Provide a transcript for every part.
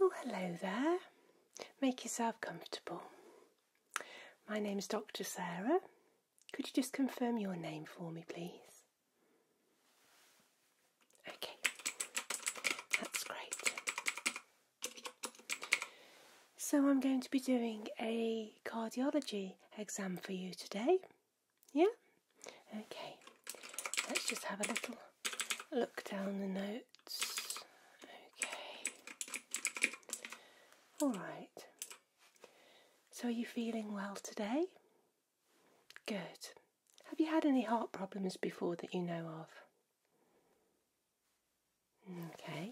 Oh, hello there. Make yourself comfortable. My name is Dr. Sarah, could you just confirm your name for me, please? Okay, that's great. So, I'm going to be doing a cardiology exam for you today. Yeah? Okay, let's just have a little look down the notes. Okay. Alright. So, are you feeling well today? Good. Have you had any heart problems before that you know of? Okay.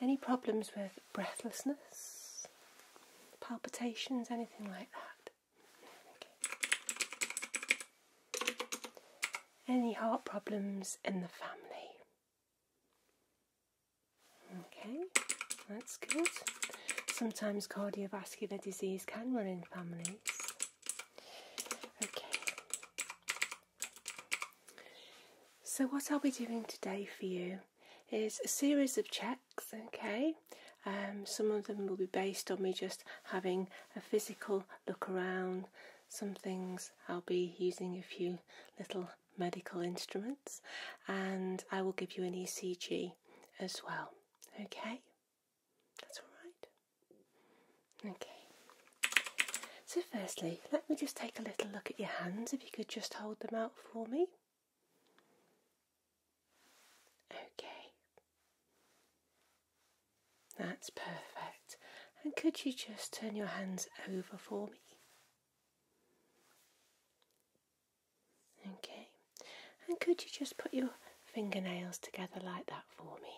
Any problems with breathlessness, palpitations, anything like that? Any heart problems in the family? Okay, that's good. Sometimes cardiovascular disease can run in families. Okay. So, what I'll be doing today for you is a series of checks, okay? Um, some of them will be based on me just having a physical look around. Some things I'll be using a few little medical instruments, and I will give you an ECG as well. Okay, that's all right. Okay, so firstly, let me just take a little look at your hands if you could just hold them out for me. Okay, that's perfect. And could you just turn your hands over for me? Okay, and could you just put your fingernails together like that for me?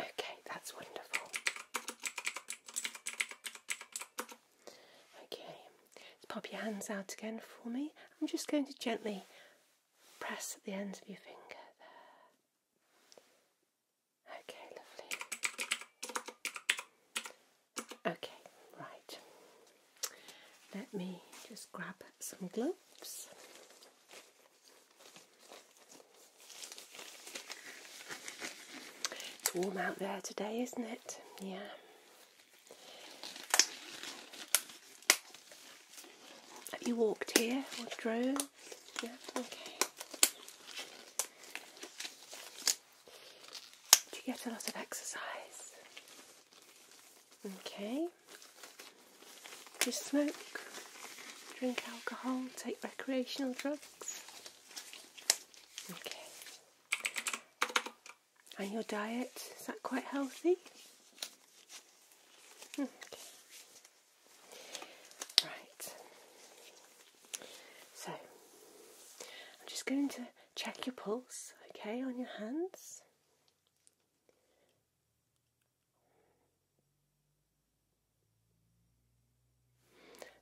Okay, that's wonderful. Okay, let's pop your hands out again for me. I'm just going to gently press at the ends of your finger there. Okay, lovely. Okay, right. Let me just grab some gloves. It's warm out there today, isn't it? Yeah. Have you walked here or drove? Do you get a lot of exercise? Okay. Do you smoke, drink alcohol, take recreational drugs? Okay. And your diet, is that quite healthy? Hmm, okay. Right. So, I'm just going to check your pulse, okay, on your hands.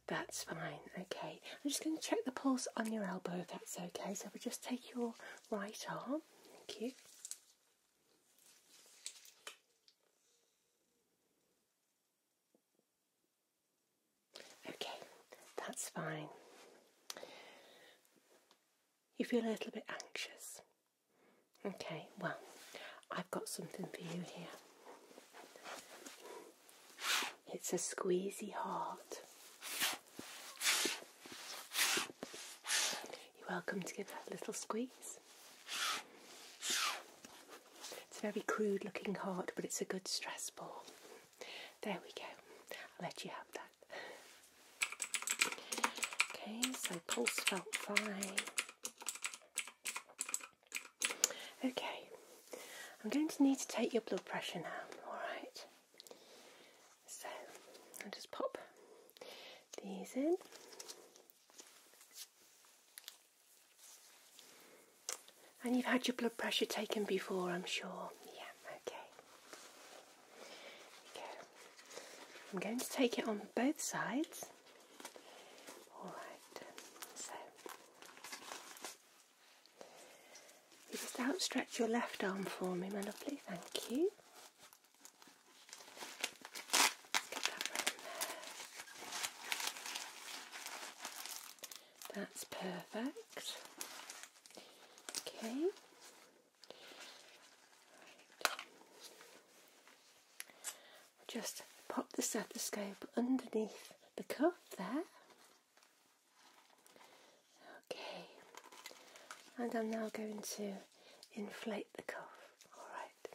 That's fine, okay. I'm just going to check the pulse on your elbow if that's okay. So we just take your right arm. Thank you. Okay, that's fine. You feel a little bit anxious. Okay, well, I've got something for you here. It's a squeezy heart. You're welcome to give that a little squeeze. It's a very crude looking heart, but it's a good stress ball. There we go. I'll let you have that. Okay, so pulse felt fine. Okay, I'm going to need to take your blood pressure now, alright? So, I'll just pop these in. And you've had your blood pressure taken before, I'm sure. Yeah, okay. There you go. I'm going to take it on both sides. Alright, so just outstretch your left arm for me, my lovely, thank you. That's perfect. Okay. Just pop the stethoscope underneath the cuff there. Okay. And I'm now going to inflate the cuff. All right.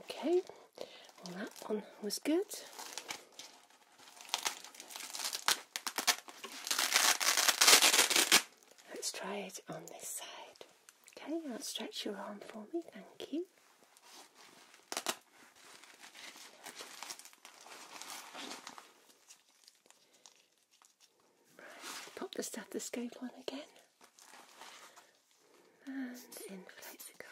Okay, well that one was good. Let's try it on this side. Okay, outstretch your arm for me, thank you. Right, pop the stethoscope on again and inflate the cup.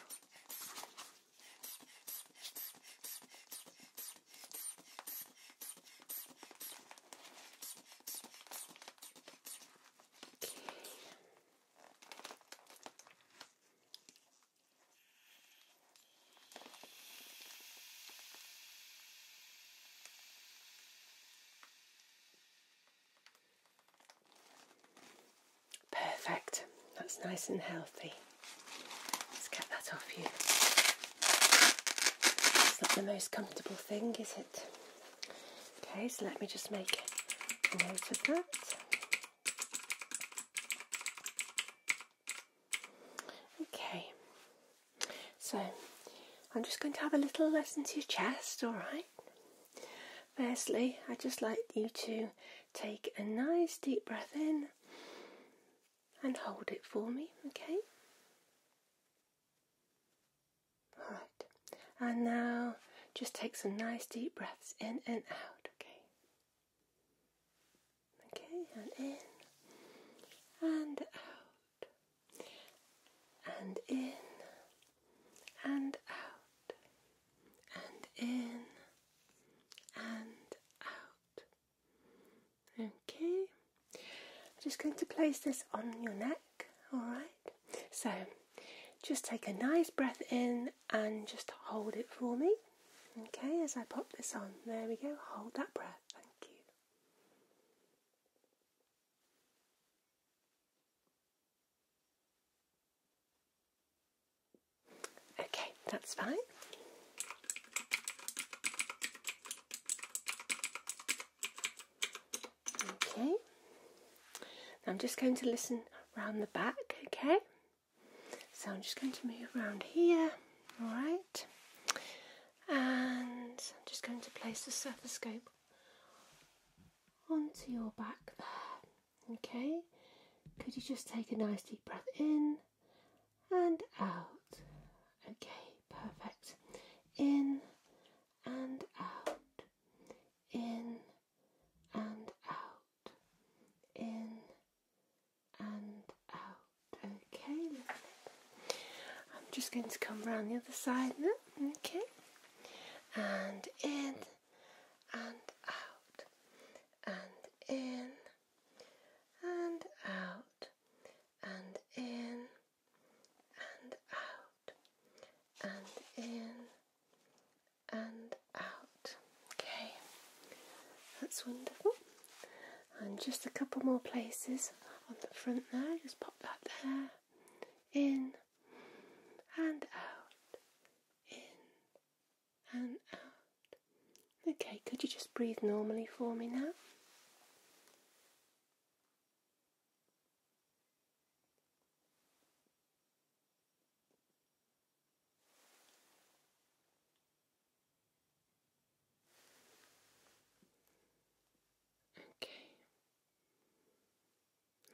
Perfect, that's nice and healthy. Let's get that off you. It's not the most comfortable thing, is it? Okay, so let me just make a note of that. Okay, so I'm just going to have a little lesson to your chest, alright? Firstly, I'd just like you to take a nice deep breath in and hold it for me, okay? Alright, and now just take some nice deep breaths in and out, okay? Okay, and in and out and in and out and in and out. Okay, just going to place this on your neck, alright? So just take a nice breath in and just hold it for me. Okay, as I pop this on, there we go, hold that breath. Thank you. Okay, that's fine. Okay, I'm just going to listen round the back, okay? So I'm just going to move around here, alright? And I'm just going to place the surface scope onto your back there. Okay, could you just take a nice deep breath in and out? Okay, perfect. In and out, in and out, in and out. Okay, I'm just going to come round the other side now, okay? And in and out, and in and out, and in and out, and in and out. Okay, that's wonderful. And just a couple more places on the front there, just pop that there in and out, in and out. Okay, could you just breathe normally for me now? Okay,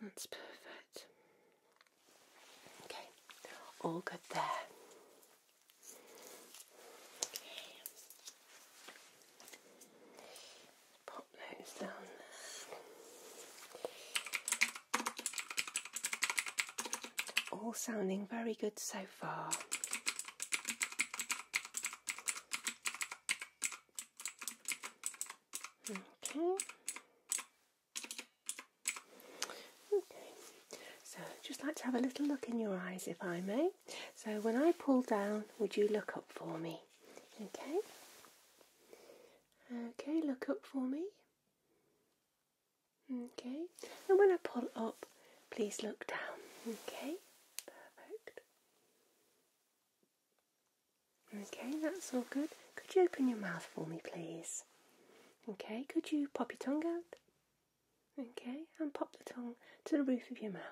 that's perfect. Okay, all good there. Pop those down there. All sounding very good so far. Okay. Okay. So just like to have a little look in your eyes if I may. So when I pull down, would you look up for me? Okay. Okay, look up for me. Okay. And when I pull up, please look down. Okay. Perfect. Okay, that's all good. Could you open your mouth for me, please? Okay, could you pop your tongue out? Okay, and pop the tongue to the roof of your mouth.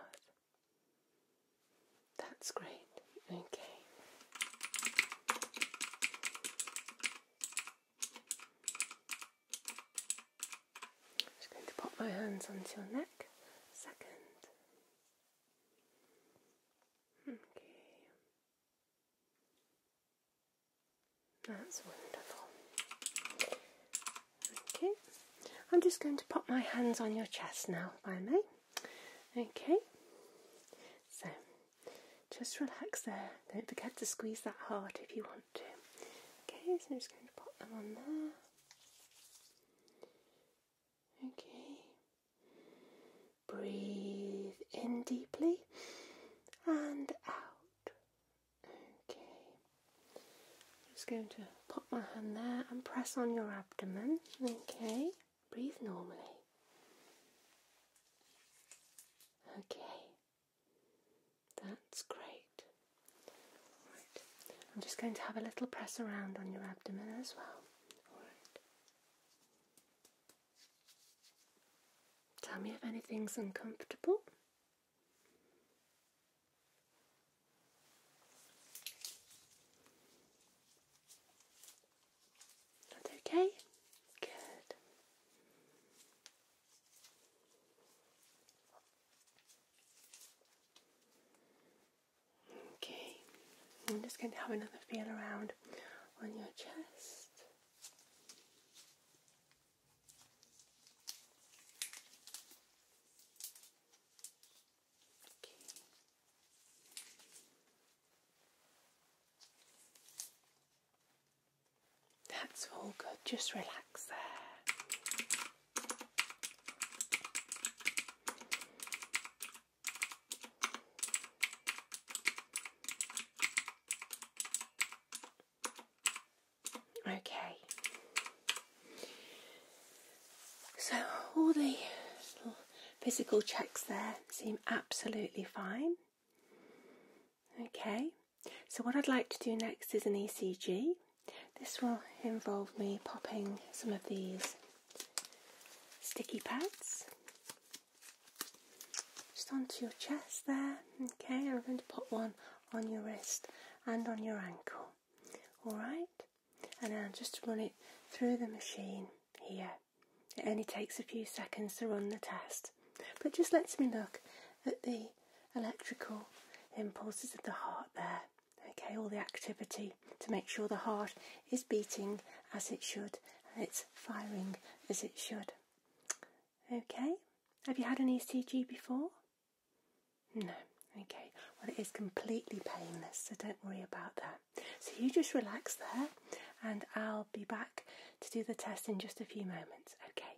That's great. Okay. just going to pop my hands onto your neck. Second. Okay. That's wonderful. Okay. I'm just going to put my hands on your chest now, by I may. Okay. So, just relax there. Don't forget to squeeze that heart if you want to. Okay, so I'm just going to put them on there. Okay. Breathe in deeply and out. Okay. just going to pop my hand there and press on your abdomen. Okay. Breathe normally. Okay. That's great. I'm just going to have a little press around on your abdomen as well. Tell me if anything's uncomfortable. Not okay? Good. Okay, I'm just going to have another feel around on your chest. That's all good, just relax there. Okay. So all the physical checks there seem absolutely fine. Okay. So what I'd like to do next is an ECG. This will involve me popping some of these sticky pads just onto your chest there. Okay, I'm going to put one on your wrist and on your ankle. Alright, and now just run it through the machine here. It only takes a few seconds to run the test, but just lets me look at the electrical impulses of the heart there okay, all the activity to make sure the heart is beating as it should it's firing as it should. Okay, have you had an ECG before? No. Okay, well, it is completely painless, so don't worry about that. So, you just relax there, and I'll be back to do the test in just a few moments. Okay,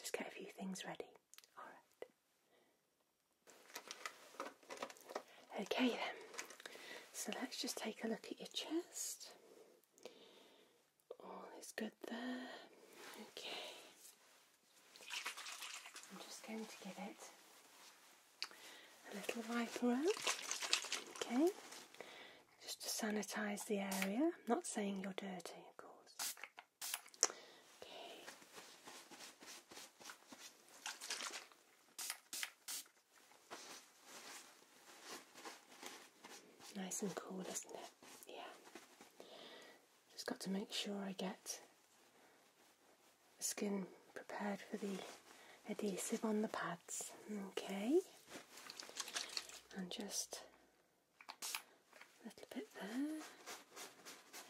just get a few things ready. All right. Okay then, so let's just take a look at your chest. All is good there. Okay. I'm just going to give it a little wipe around. Okay. Just to sanitize the area. not saying you're dirty, of course. Okay. Nice and cool, isn't it? Yeah. Just got to make sure I get the skin prepared for the adhesive on the pads. Okay. And just a little bit there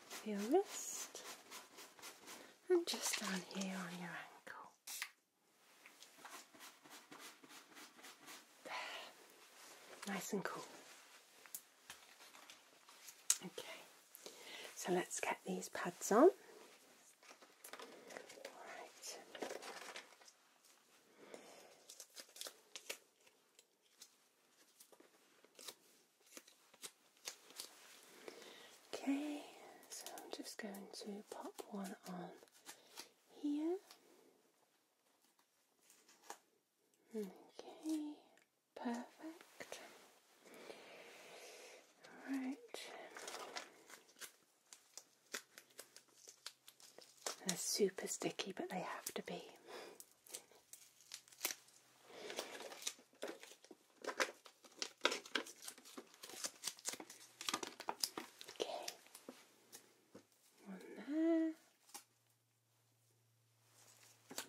for your wrist and just down here on your ankle. There. Nice and cool. Okay, so let's get these pads on. All right. Okay, so I'm just going to pop one on here. Okay, perfect. Right. They're super sticky, but they have to be. Okay. One there.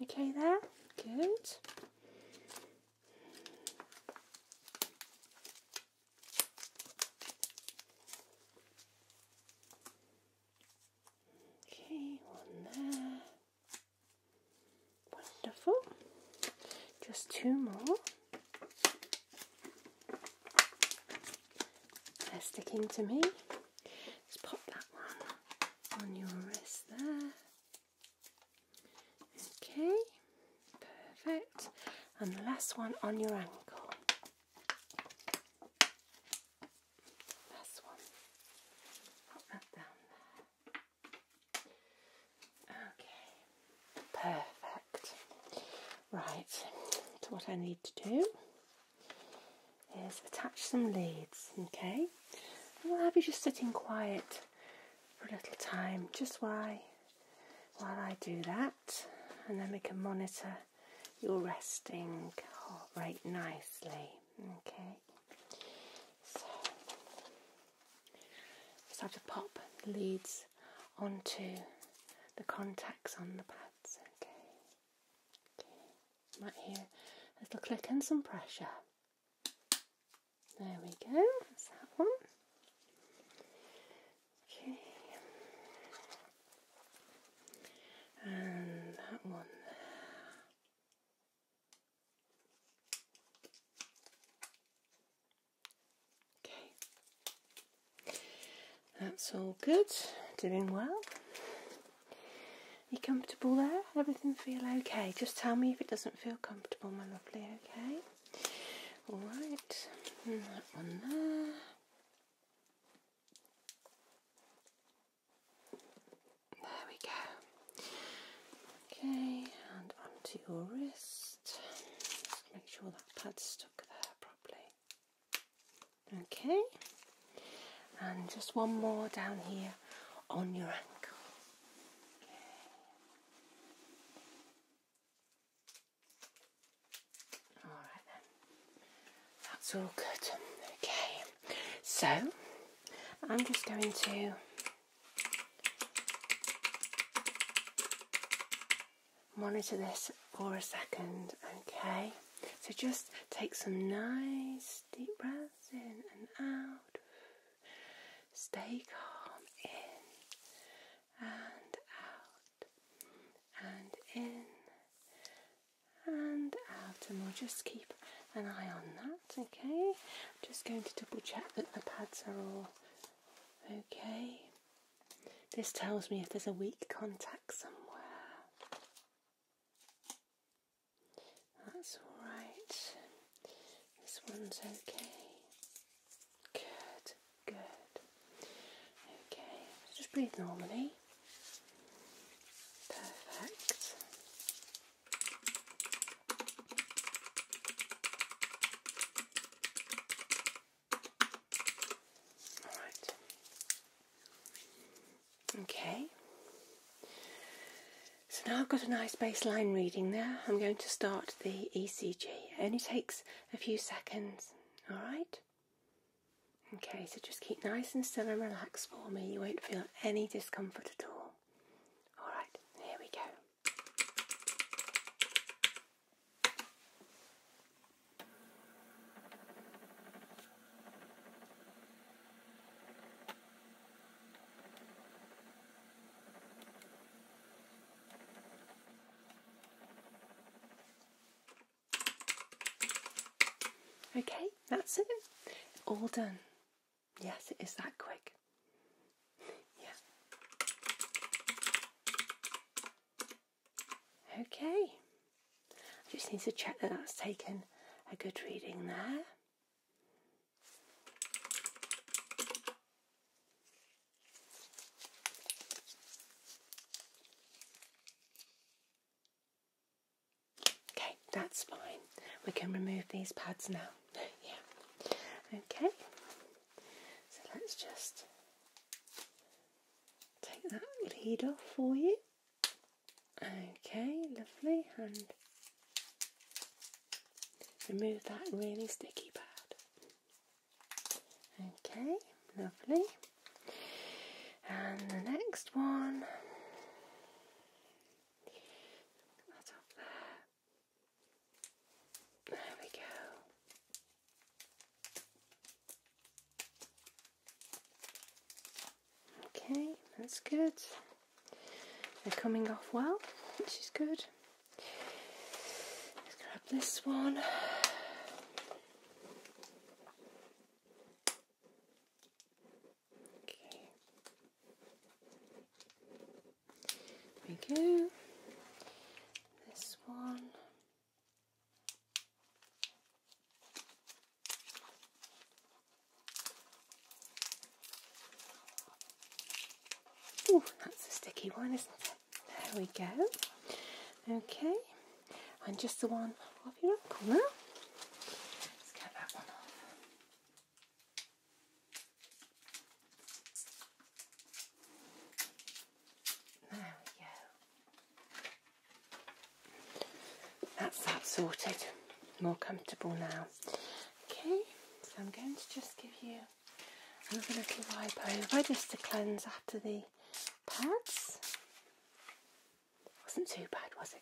Okay, there. Good. Okay, one there. Wonderful. Just two more. They're sticking to me. Just pop that one on your wrist there. Okay, perfect. And the last one on your ankle. Last one. Pop that down there. Okay, perfect. Right, so what I need to do is attach some leads, okay? And we'll have you just sitting quiet for a little time, just while, while I do that, and then we can monitor your resting heart rate nicely, okay? Just have to pop the leads onto the contacts on the pads. Okay. Okay. Right here. A little click and some pressure. There we go. That's that one. Okay. And that one there. Okay, that's all good, doing well. You comfortable there? Everything feel okay? Just tell me if it doesn't feel comfortable, my lovely, okay? Alright, hmm, that one there. There we go. Okay, and onto your wrist. make sure that pad's stuck there properly. Okay, and just one more down here on your ankle. Okay. Alright then, that's all good. Okay, so I'm just going to Monitor this for a second, okay? So just take some nice deep breaths in and out. Stay calm in and out and in and out, and we'll just keep an eye on that. Okay, I'm just going to double check that the pads are all okay. This tells me if there's a weak contact somewhere. That's all right. This one's okay. Good, good. Okay, just breathe normally. Perfect. All right. Okay. So now I've got a nice baseline reading there. I'm going to start the ECG. It only takes a few seconds. All right. Okay, so just keep nice and still and relaxed for me. You won't feel any discomfort at all. All right, here we go. Okay, that's it. All done. Yes, it is that quick. yeah. Okay. just need to check that that's taken a good reading there. Okay, that's fine. We can remove these pads now. Yeah. Okay. So let's just take that lead off for you. Okay, lovely. And remove that really sticky pad. Okay, lovely. And the next one. That's up there. There we go. Okay, that's good. They're coming off well, which is good. Let's grab this one. Okay. There we go. This one. Oh, that's a sticky one, isn't it? There we go. Okay, and just the one off your ankle Let's get that one off. There we go. That's that sorted. More comfortable now. Okay, so I'm going to just give you another little wipe over just to cleanse after the pads. Wasn't too bad, was it?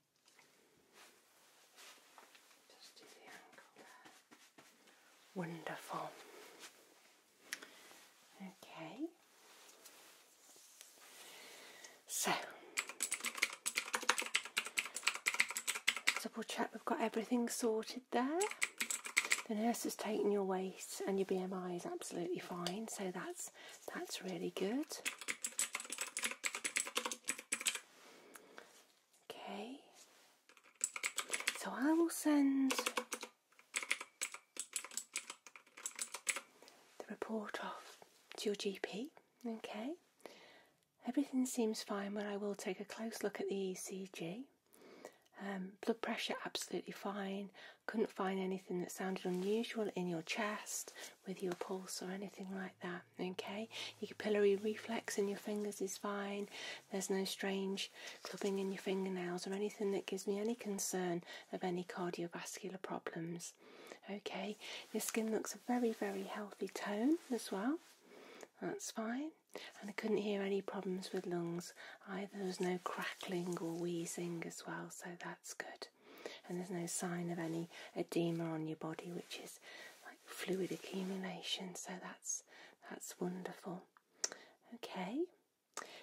Wonderful. Okay. So, double check we've got everything sorted there. The nurse has taken your waist, and your BMI is absolutely fine, so that's that's really good. Okay, so I will send the report off to your GP. Okay, everything seems fine, but I will take a close look at the ECG. Um, blood pressure absolutely fine. Couldn't find anything that sounded unusual in your chest, with your pulse or anything like that. Okay, your capillary reflex in your fingers is fine. There's no strange clubbing in your fingernails or anything that gives me any concern of any cardiovascular problems. Okay, your skin looks a very, very healthy tone as well. That's fine. And I couldn't hear any problems with lungs either. There's no crackling or wheezing as well, so that's good. And there's no sign of any edema on your body, which is like fluid accumulation. So that's that's wonderful. Okay,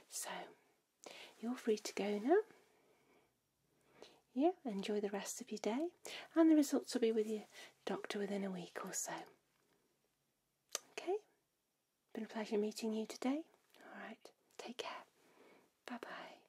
so you're free to go now. Yeah, enjoy the rest of your day, and the results will be with your doctor within a week or so. Okay, been a pleasure meeting you today. All right, take care. Bye bye.